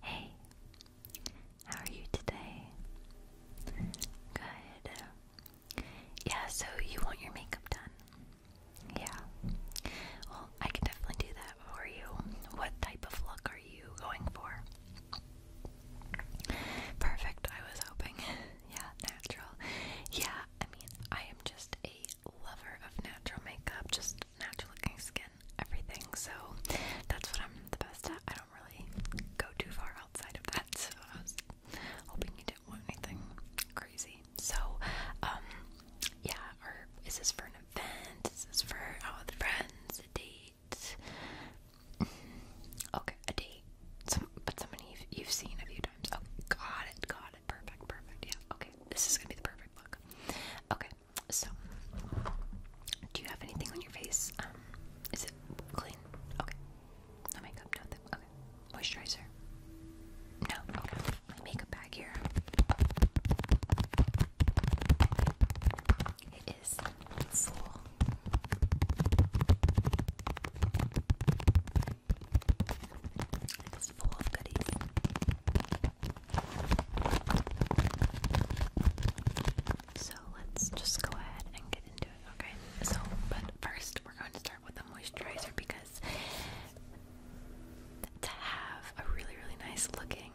Hey, how are you today? Good. Yeah, so you want your makeup done? Yeah. Well, I can definitely do that for you. What type of look are you going for? Perfect, I was hoping. yeah, natural. Yeah, I mean, I am just a lover of natural makeup, just natural looking skin, everything. So that's what I'm the best at. I don't really go too far outside of that. So I was hoping you didn't want anything crazy. So, um, yeah, or is this for an event? Is this for out oh, with friends? A date? Mm-hmm. okay, a date. Some, but somebody you you've seen a few times. Oh, got it, got it. Perfect, perfect. Yeah, okay. This is gonna be the perfect look. Okay, so, do you have anything on your face? Um, is it clean? Okay. No makeup, Okay. Moisturizer? No. Okay. makeup bag here. It is full. It's full of goodies. So let's just go ahead and get into it, okay? So, but first we're going to start with a moisturizer because to have a really, really nice looking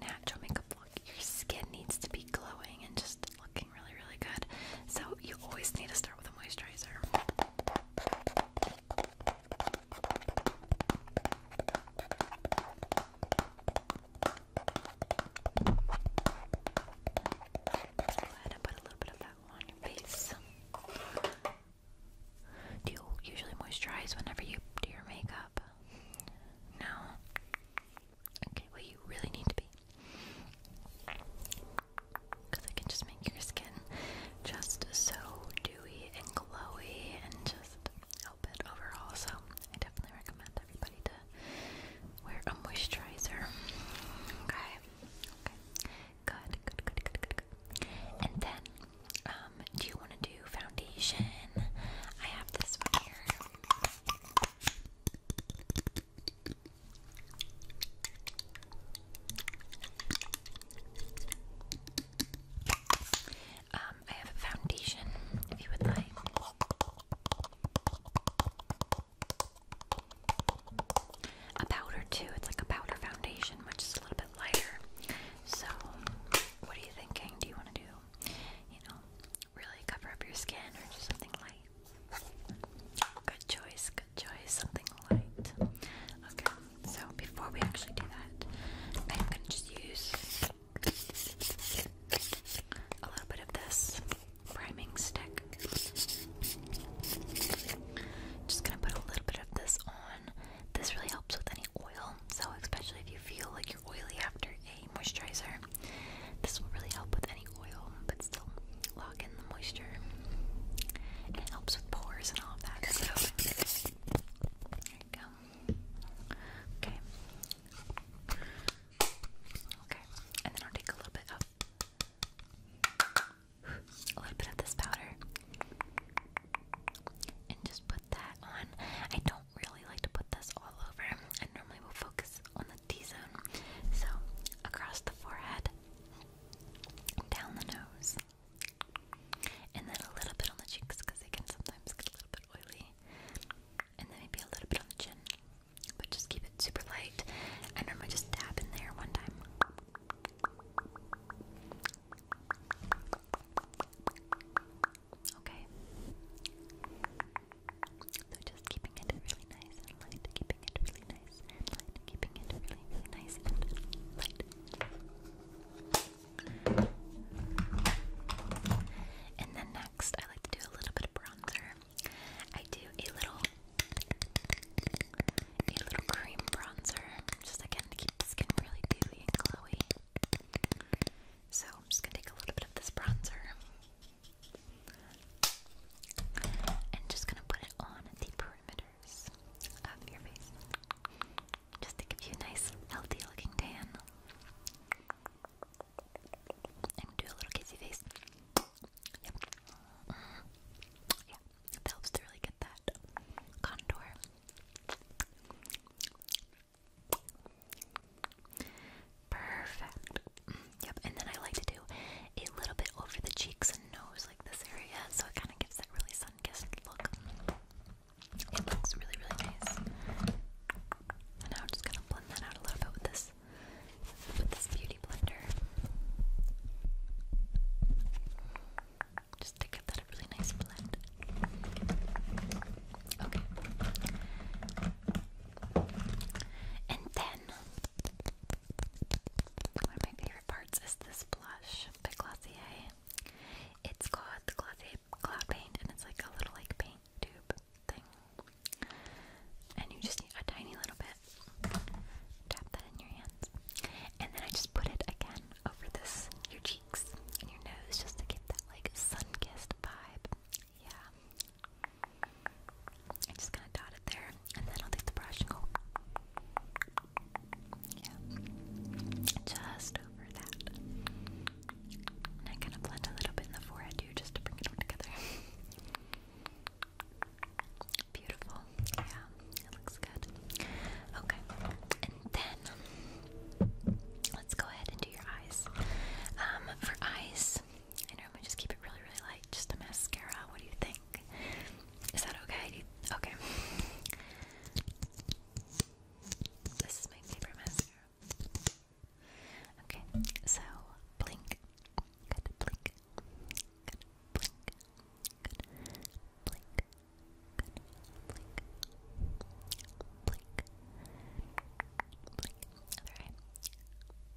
natural makeup look, your skin needs to be glowing and just looking really, really good. So, you always need to start with a moisturizer ahead and put a little bit of that on your face. Do you usually moisturize whenever you do your makeup? No. Okay, well, you really need to be because it can just make your skin just so dewy and glowy and just help it overall. So I definitely recommend everybody to wear a moisturizer. Okay. Okay. Good. Good. Good. Good. Good. good. And then, um, do you want to do foundation? I have this one here. Um, I have a foundation if you would like. A powder too. It's like a powder foundation, which is a little bit lighter. So, what are you thinking? Do you want to do, you know, really cover up your skin or just something light? Good choice good something light. Okay, so before we actually do that, I'm gonna just use a little bit of this priming stick. Just gonna put a little bit of this on. This really helps with any oil, so especially if you feel like you're oily after a moisturizer, this will really help with any oil lock in the moisture. And it helps with pores and all of that. So there you go. Okay. Okay. And then I'll take a little bit of a little bit of this powder and just put that on. I don't really like to put this all over. I normally will focus on the T zone. So across the forehead down the nose, and then a little bit on the cheeks because they can sometimes get a little bit oily, and then maybe a little bit on the chin. But just keep it super light. I normally just dab in there one time. Okay. So just keeping it really nice and light, keeping it really nice and then next, I like to do a little bit of bronzer. I do a little, a little cream bronzer, just again to keep the skin really dewy and glowy. So I'm just gonna take a little bit of this bronzer and just gonna put it on the perimeters of your face. Just to give you a nice, healthy looking tan. i do a little kissy face. Yeah, helps to really get that contour. Perfect. Yep, and then I like to do a little bit over the cheeks and nose, like this area, so it kind of gives that really sun-kissed look. It looks really, really nice. And now I'm just gonna blend that out a little bit with this with this beauty blender. Just to give that a really nice blend. Okay. And then one of my favorite parts is this blush by Glossier. It's called the Glossier Cloud Paint, and it's like a little like paint tube thing. And you just need a tiny little bit. Tap that in your hands, and then I just put it again over this your cheeks and your nose just to get that like sun-kissed vibe. Yeah, I'm just gonna dot it there, and then I'll take the brush and go. just over that. And I'm going blend a little bit in the forehead too, just to bring it all together. Beautiful. Yeah, it looks good. Okay, and then let's go ahead and do your eyes. Um, for eyes, I normally just keep it really, really light, just a mascara. What do you think? Is that okay? okay. This is my favorite mascara. Okay, so blink. Good blink. Good blink. Good blink. Good Blink. Blink. Other eye.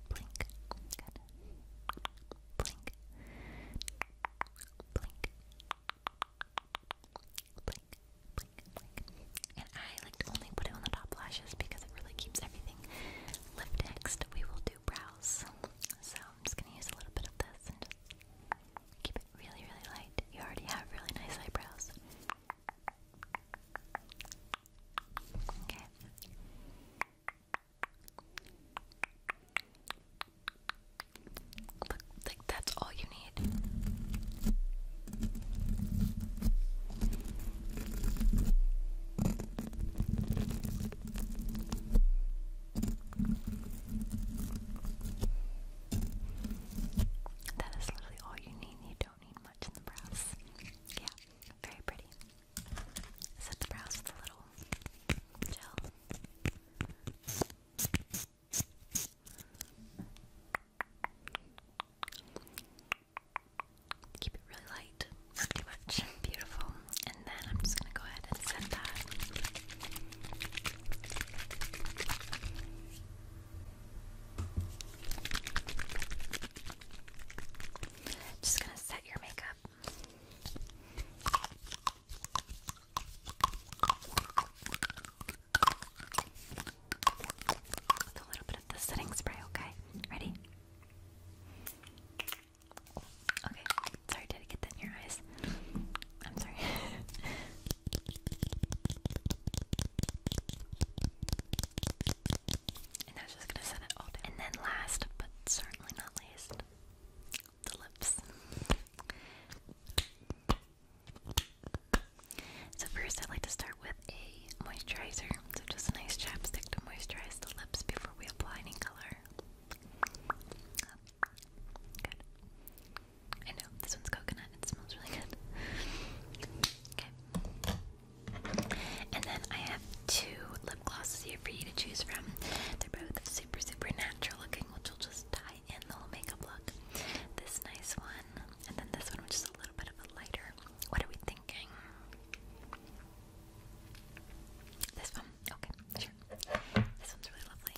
Blink. Good. Blink. Blink. Blink. Blink. Blink. And I like only put it on the top lashes because it really keeps everything lip We will do brows. So I'm just gonna use a little bit of this and just keep it really, really light. You already have really nice eyebrows like that's all you need. That is literally all you need don't need much in the brows. Yeah, very pretty. Set the brows with a little gel. Keep it really light, not too much. Beautiful. And then I'm just gonna go ahead and set that. Just gonna set your makeup. With a little bit of the setting spray, okay? Ready? Okay, sorry, did I get that in your eyes? I'm sorry. And I was just gonna set it all down. And then last, but certainly not least, the lips. So first I I'd like to start with a moisturizer. So just a nice chapstick to moisturize the lips before we apply any color. Good. I know, this one's coconut. It smells really good. Okay. And then I have two lip glosses here for you to choose from. They're both super, super natural looking, which will just tie in the whole makeup look. This nice one, and then this one, which is a little bit of a lighter. What are we thinking? This one? Okay, sure. This one's really lovely.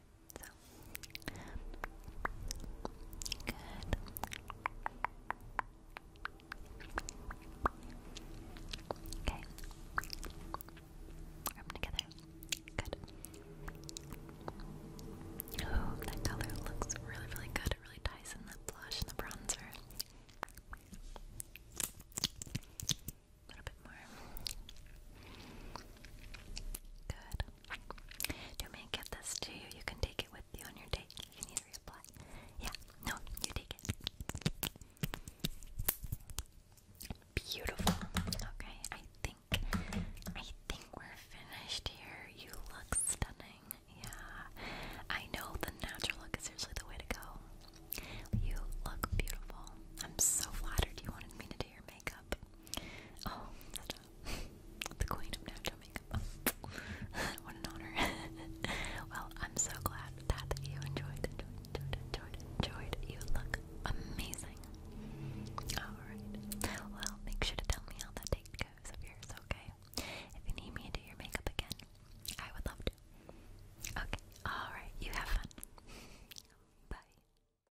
Okay. Rub together. Good. that color looks really, really good. It really ties in the blush and the bronzer. A little bit more. Good. Do me give this to you. You can take it with you on your date. You can either reapply. Yeah, no, you take it. Beautiful. Okay, I think I think we're finished here. You look stunning. Yeah. I know the natural look is seriously the way to go. You look beautiful. I'm so flattered you wanted me to do your makeup. Oh, the queen of natural makeup. what an honor. well, I'm so glad that you enjoyed, enjoyed, enjoyed, enjoyed. You look amazing. Alright. Well, make sure to tell me how that date goes of yours, okay? If you need me to do your makeup again, I would love to. Okay, alright, you have fun. Bye.